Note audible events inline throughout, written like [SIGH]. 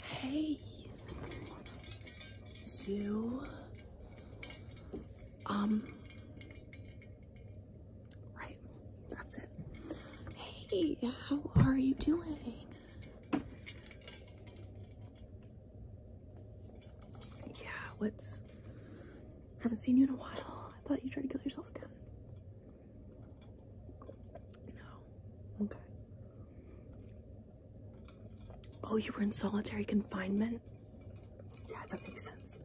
Hey, you, um, right, that's it. Hey, how are you doing? Yeah, what's. Haven't seen you in a while. I thought you tried to kill yourself again. No. Okay. Oh, you were in solitary confinement? Yeah, that makes sense.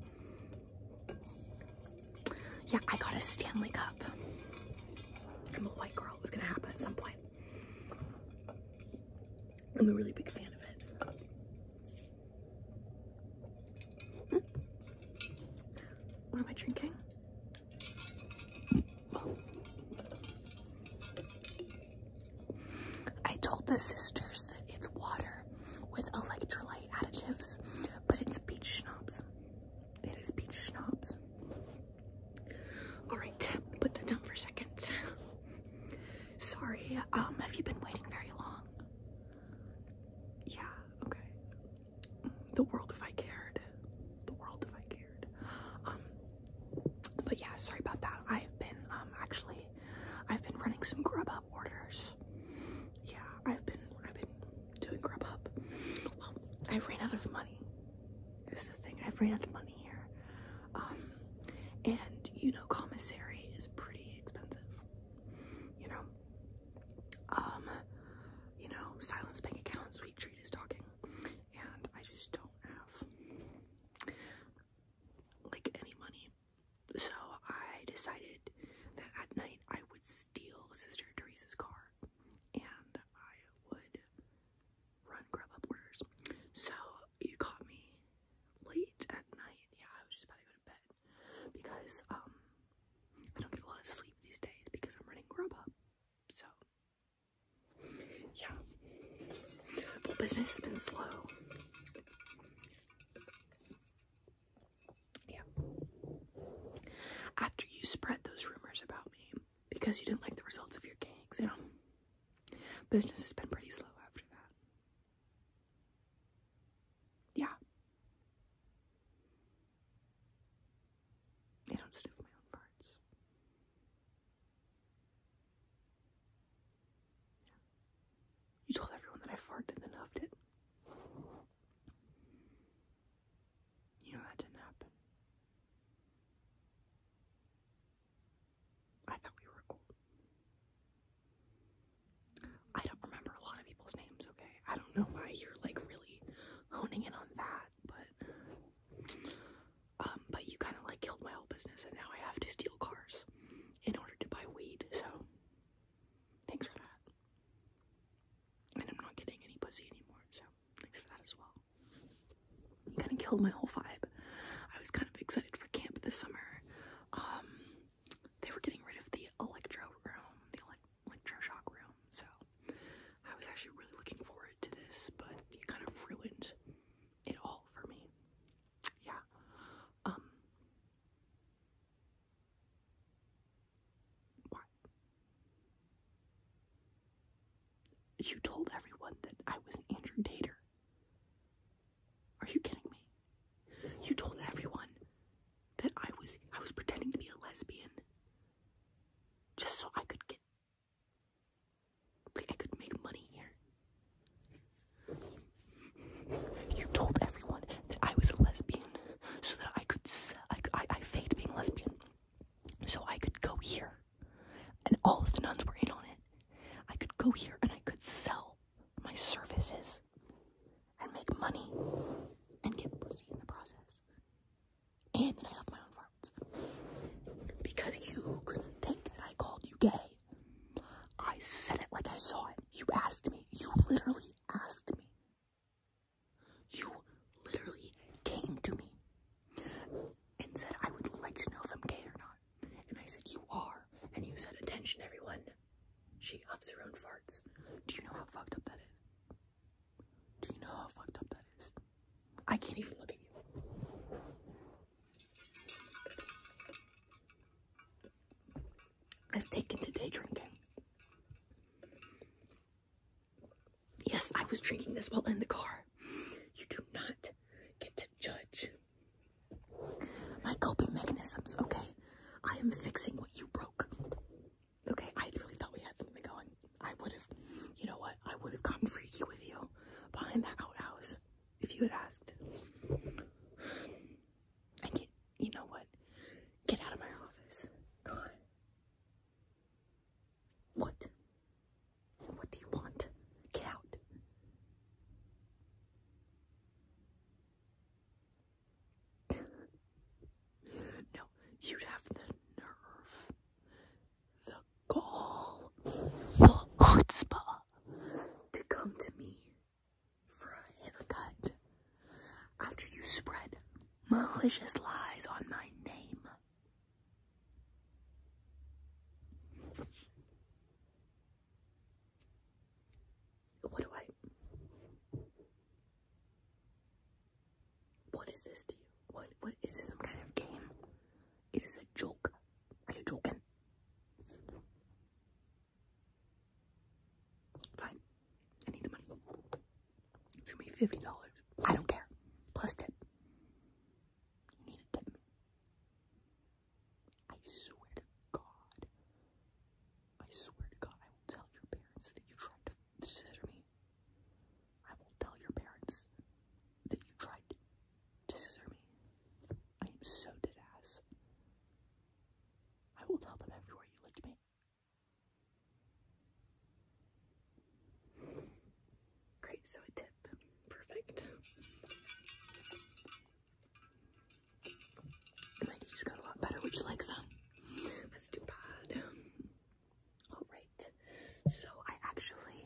Yeah, I got a Stanley Cup. I'm a white girl. It was gonna happen at some point. I'm a really big fan of it. What am I drinking? I told the sisters that it's water with electrolyte additives, but it's peach schnapps. It is peach schnapps. All right, put that down for a second. Sorry, um, have you been waiting very long? Yeah, okay. The world if I cared. The world if I cared. Um, but yeah, sorry about that. I've been, um, actually, I've been running some Grubhub orders. Yeah, I've been, I've been doing Grubhub. Well, I ran out of money. This is the thing, I've ran out of money here. Um, and you know, commissary is pretty expensive. You know, um, you know, silence bank account, sweet treat is talking, and I just don't have like any money. So I decided that at night I would steal Sister Teresa's car, and I would run Grubhub orders. So you caught me late at night. Yeah, I was just about to go to bed because um I don't get a lot of sleep these days because I'm running Grubhub. So yeah, business has been slow. Yeah. After you spread those rumors about me, because you didn't like the results of your gay exam. Business has been pretty slow after that. Yeah. I don't sniff my own farts. You told everyone that I farted and then huffed it. You know that didn't happen. I thought we were cool. I don't remember a lot of people's names, okay? I don't know why you're like really honing in on that, but um but you kind of like killed my whole business and now I have to steal cars in order to buy weed. So thanks for that. And I'm not getting any pussy anymore, so thanks for that as well. You kind of killed my whole vibe. I was kind of excited for camp this summer. Um, they were getting rid of the electro room, the electro shock room, so I was actually really looking forward to this, but you kind of ruined it all for me. Yeah. Um, what? You told everyone that I was an Andrew Dater. Are you kidding me? You told everyone that I was I was pretending to be a lesbian just so I could get like I could make money here. You told everyone that I was a lesbian so that I could I I, I faked being lesbian so I could go here, and all of the nuns were in on it. I could go here and I could sell my services and make money and get pussy in the process. And then I have my own farms. Because you couldn't think that I called you gay. I said it like I saw it. You asked me. You literally asked me. You literally came to me and said I would like to know if I'm gay or not. And I said, You are. And you said, Attention, everyone. She huffs her own farts. Do you know how fucked up that is? Do you know how fucked up that is? I can't even look at you. I've taken to day drinking. Yes, I was drinking this while in the car. You do not get to judge my coping mechanisms, okay? I am fixing what you broke. Okay, I really thought we had something going. I would have, you know what? I would have gotten freaky with you behind that outhouse if you had asked. I get, you know what? Get out of my office. God. What? What do you want? Get out. no, you'd have the nerve, the gall, the chutzpah to come to me for a haircut after you spread malicious lies on my name. What do I? What is this to you? What? What is this? Some kind of game? Is this a joke? Are you joking? Fine. I need the money. It's gonna be fifty dollars. I don't care. Plus tip. You need to tip I swear to God. I swear to God, I will tell your parents that you tried to scissor me. I will tell your parents that you tried to scissor me. I am so dead ass. I will tell them everywhere you licked me. Great, so a tip. Perfect. My just got a lot better. Would you like some? That's too bad. Alright, so I actually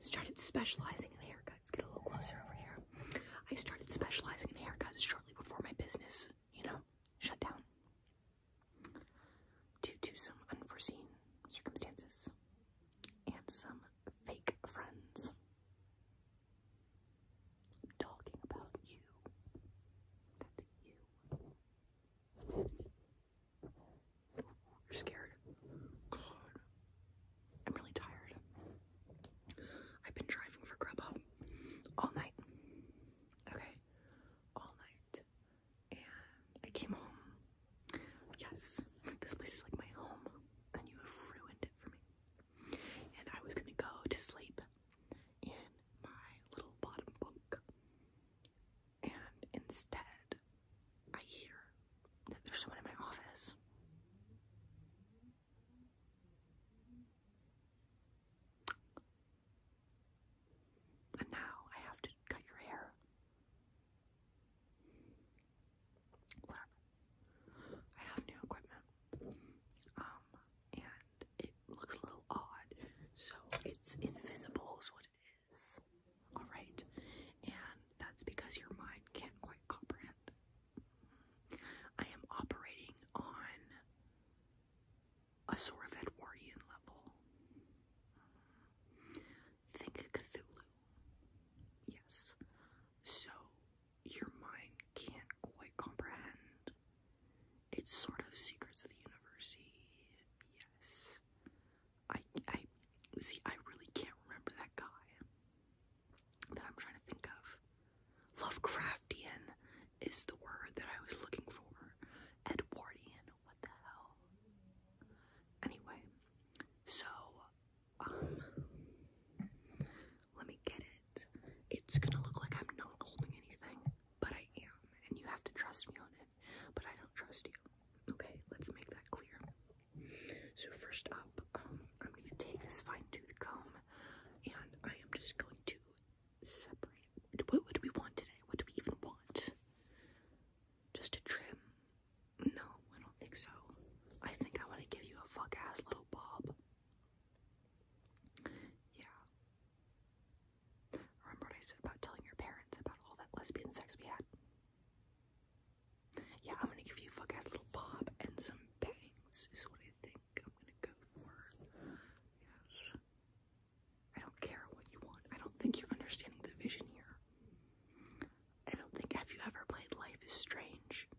started specializing in haircuts. Get a little closer over here. I started specializing in haircuts shortly before my business, you know, shut down due to some unforeseen circumstances and some fake friends talking about you. That's you. You're scared. I'm really tired. I've been driving for Grubhub all night okay, all night. And I came home. Yes, this place is like my home, and you ruined it for me. And I was gonna go to sleep in my little bottom bunk. And instead, I hear that there's someone in my office. And now I have to cut your hair. Whatever. I have new equipment. Um, and it looks a little odd. So it's invisible, what it is. Alright. And that's because your mind can't quite comprehend. I am operating on a sort of Edwardian level. Think Cthulhu. Yes. So your mind can't quite comprehend. It's sort of secrets of the universe. Yes. I I see I really can't remember that guy that I'm trying to think of. Lovecraftian is the word that I was looking for. Edwardian, what the hell? Anyway, so, um, let me get it. It's gonna look like I'm not holding anything, but I am, and you have to trust me on it, but I don't trust you. Okay, let's make that clear. So, first up, um, I'm gonna take this fine tooth comb and I am just going to separate. What, what do we want today? What do we even want? Just a trim? No, I don't think so. I think I want to give you a fuck ass little bob. Yeah. Remember what I said about telling your parents about all that lesbian sex we had? Yeah, I'm gonna give you fuck ass little bob and some bangs, is what I think. I'm gonna go for. Yes. I don't care what you want. I don't think you're understanding the vision here. I don't think have you ever played Life is Strange?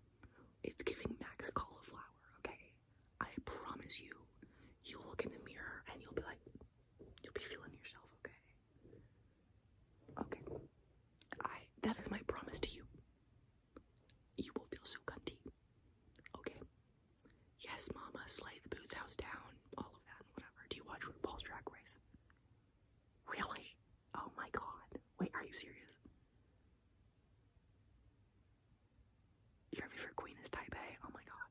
It's giving Max cauliflower, okay? I promise you, you'll look in the mirror and you'll be like, you'll be feeling yourself, okay? Okay. I that is my promise to you. You will feel so cunty. Okay? Yes, mama, slay the boots house down, all of that, and whatever. Do you watch RuPaul's Drag Race? Really? Oh my god. Wait, are you serious? Your favorite queen is Taipei? Oh my god.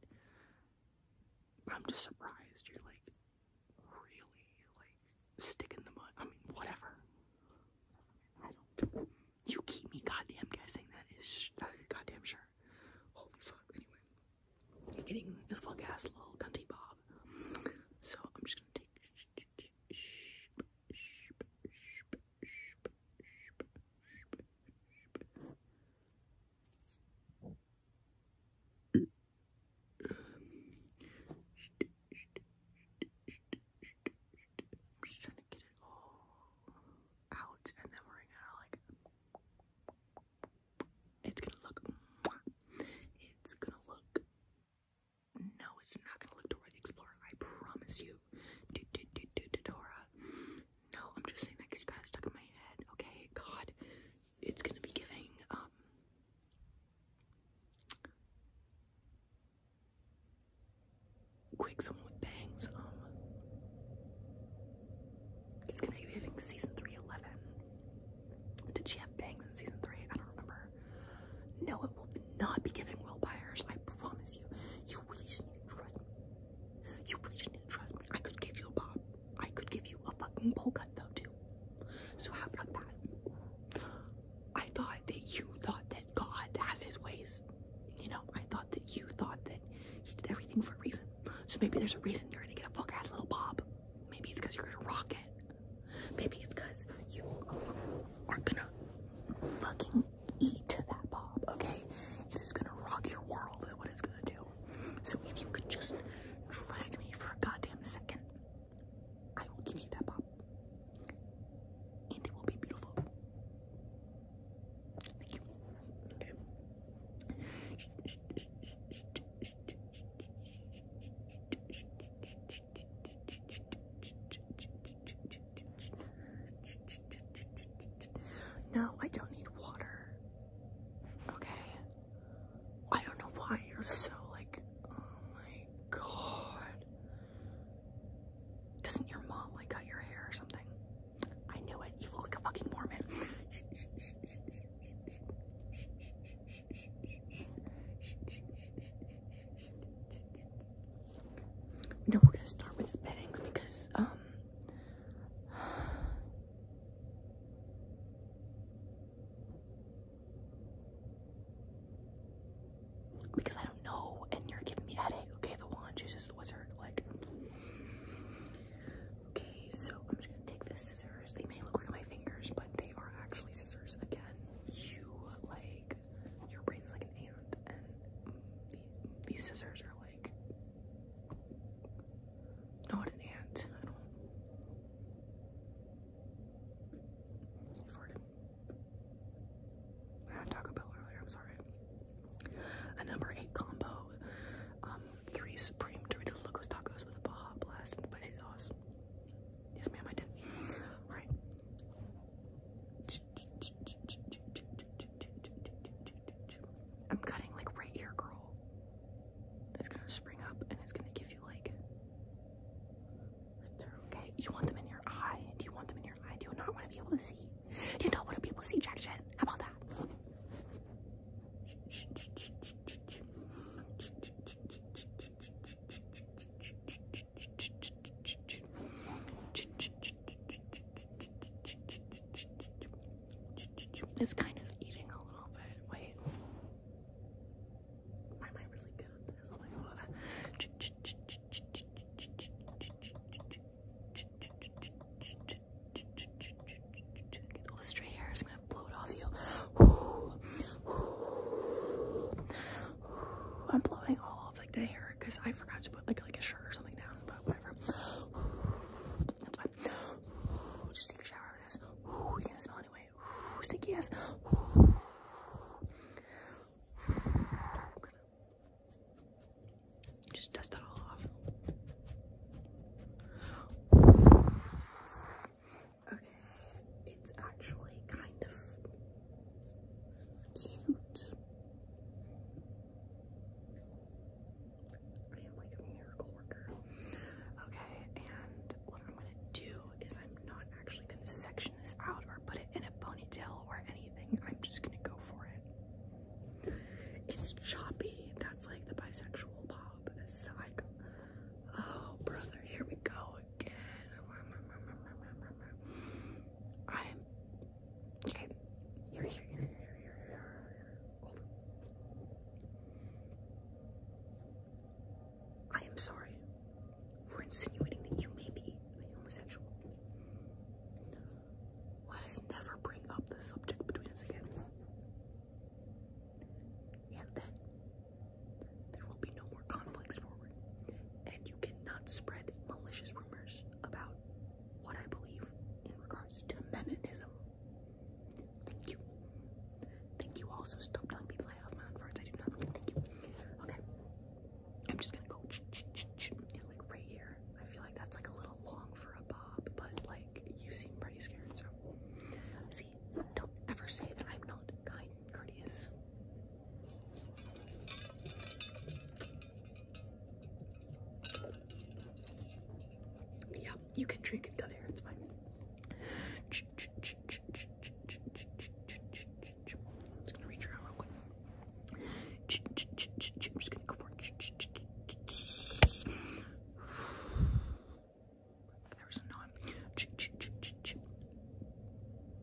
I'm just surprised. You're like, really, like, stick in the mud. I mean, whatever. You keep me goddamn guessing. That is goddamn sure. Holy fuck. Anyway, I'm getting the fuck ass little cunty bob. So I'm just gonna take. I'm just trying to get it all out, and then we're gonna like. It's gonna look. It's gonna look. No, it's not gonna look Dora the Explorer. I promise you. Do, do, do, do, do, Dora. No, I'm just saying that because you got it stuck in my head. Okay, God, it's gonna be giving um. Quick, with bangs. Um, it's gonna be having season three eleven. Did she have bangs in season three? I don't remember. No, it will not be giving Will buyers. I promise you. You really just need to trust me. You really just need to trust me. I could give you a bob. I could give you a fucking bowl cut though too. So have about that? I thought that you thought that God has his ways. You know, I thought that you thought that he did everything for a reason. So maybe there's a reason you're gonna get a fuck ass little bob. Maybe it's because you're gonna rock it. Maybe it's because you are gonna fucking eat that bob, okay? It is gonna rock your world, is what it's gonna do. So if you could just trust me for a goddamn second, I will give you that pop. And it will be beautiful. Thank you. Okay. No, I don't need water. Okay. I don't know why you're so like oh my god. Doesn't your mom like cut your hair or something? I knew it. You look like a fucking Mormon. No, we're gonna start with the bangs because, um, because I don't know, and you're giving me headache. Okay, the wand chooses the wizard. Like, okay, so I'm just gonna take this scissors. They may look like my fingers, but they are actually scissors. Again, you like your brain like an ant, and these scissors are like not an ant. I don't. Taco Bell earlier, I'm sorry. A number eight combo. Um, three Supreme Doritos Locos Tacos with a Baja Blast and spicy sauce. Yes, ma'am, I did. All right. I'm cutting like right here, girl. It's gonna spring up and it's gonna give you like okay. You want them in your eye. Do you want them in your eye? Do not want to be able to see? Do not want to be able to see jack shit? How about that? It's kind of eating a little bit. Wait. Why am I really good all the stray hairs. i gonna blow it off you. I'm blowing all of like the hair because I forgot to put like like a shirt or something down, but whatever. That's fine. Just take a shower after can smell anyway. Ooh, sticky ass. Just dust that all off. Okay, it's actually kind of cute. I am like a miracle Okay, and what I'm gonna do is I'm not actually gonna section this out or put it in a ponytail or anything. I'm just gonna go for it. It's choppy. That's like the bisexual bob. It's like, oh brother, here we go again. I'm okay. Here, here, here, here, here, here. Hold I am sorry for insinuating that you may be a homosexual. Let us never bring up the subject between us again. And then there will be no more conflicts forward. And you cannot spread malicious rumors about what I believe in regards to Meninism. Thank you. Thank you also. Stop telling people I have my own words. I do not thank you. Okay. I'm just gonna go like right here. I feel like that's like a little long for a bob, but like you seem pretty scared, so see, don't ever say that I'm not kind courteous. Yeah, you can drink it down here, it's fine. I'm just gonna reach around real I'm just gonna go for it. There was a non.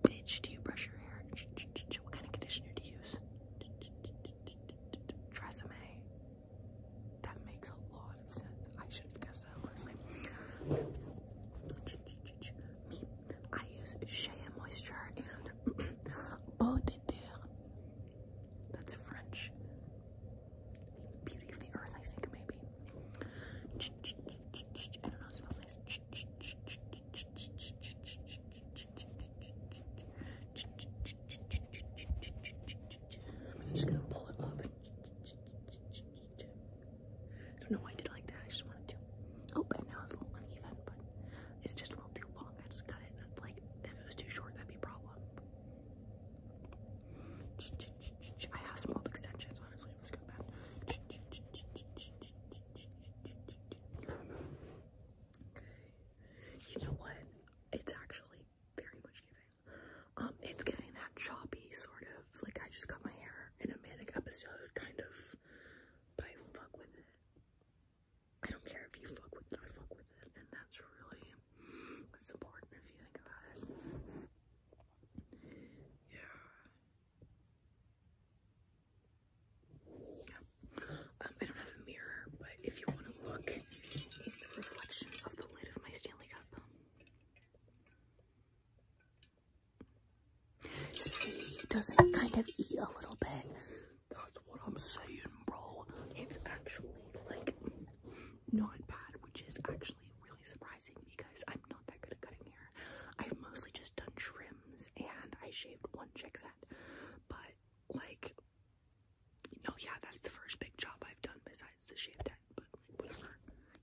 Bitch, do you brush your hair? What kind of conditioner do you use? Tresemme. That makes a lot of sense. I should have guessed that was I use Shea Moisture and [CLEARS THROAT] Beau That's French. beauty of the earth, I think maybe. I don't know, it smells nice. I'm just gonna pull it up. I don't know why I did like that. I just wanted to. Oh, and now it's a little uneven, but it's just a little too long. I just cut it. That's like if it was too short, that'd be a problem. I have small extensions, honestly. Let's go Okay. You know what? It's actually very much giving. Um, it's getting that choppy sort of like I just cut my hair in a manic episode kind of, but I fuck with it. I don't care if you fuck with it, I fuck with it, and that's really what's important if you think about it. Yeah. Yeah. Um, I don't have a mirror, but if you want to look in the reflection of the lid of my Stanley Cup. See, doesn't kind of eat a little bit? That's what I'm saying, bro. It's actually, like, not bad, which is actually really surprising because I'm not that good at cutting hair. I've mostly just done trims and I shaved one chick set, but, like, no, yeah, that's the first big job I've done besides the shave head, but whatever,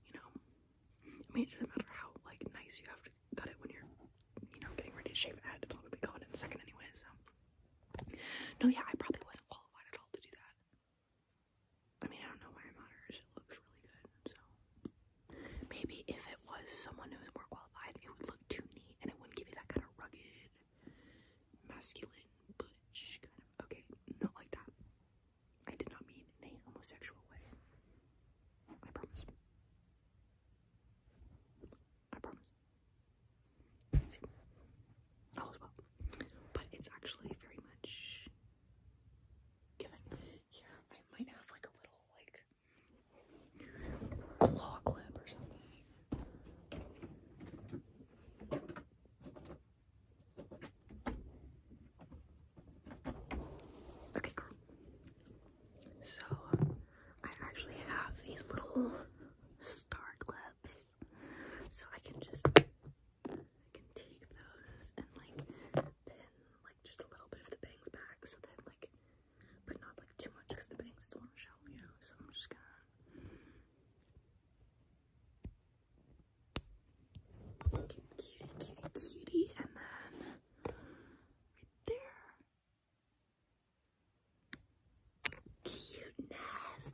you know. I mean, it doesn't matter how like nice you have to cut it when you're, you know, getting ready to shave it. I had to be go in a second anyway, so. No, yeah, I probably wasn't qualified at all to do that. I mean, I don't know why it matters. It looks really good, so. Maybe if it was someone who was more qualified, it would look too neat and it wouldn't give you that kind of rugged masculine, butch, kind of. Okay, not like that. I did not mean in a homosexual way. I promise. I promise. Oh, all is well. But it's actually very much giving. yeah, I might have like a little like claw clip or something. Okay, So, I actually have these little star clips. So I can just, can take those and like pin like just a little bit of the bangs back so that like, but not like too much because the bangs want to show, you So I'm just gonna Cutie, cutie, cutie, and then there. Cuteness.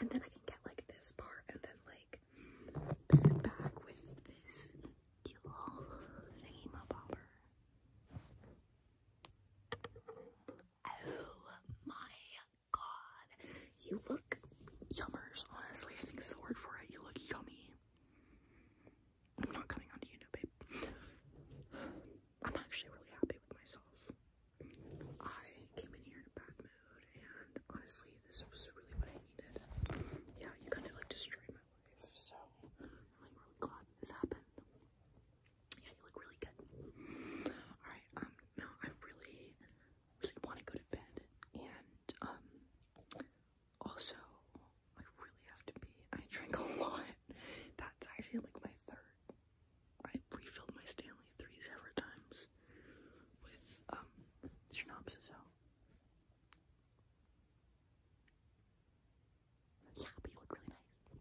And then I can get like this part and then like back with this cute little thingy popper. Oh my god. You look yummers, honestly. I think it's the word for it. You look yummy. I'm not coming on to you, no, babe. I'm actually really happy with myself. I came in here in a bad mood, and honestly, this was really what I needed. Yeah, you kind of like destroyed my life, so I'm like really glad this happened. Yeah, you look really good. Alright, um, now I really, really want to go to bed. And, um, also, I really have to be. I drank a [LAUGHS] lot. That's actually like my third. I refilled my Stanley three several times with, um, Synopsis, so. Yeah, but you look really nice.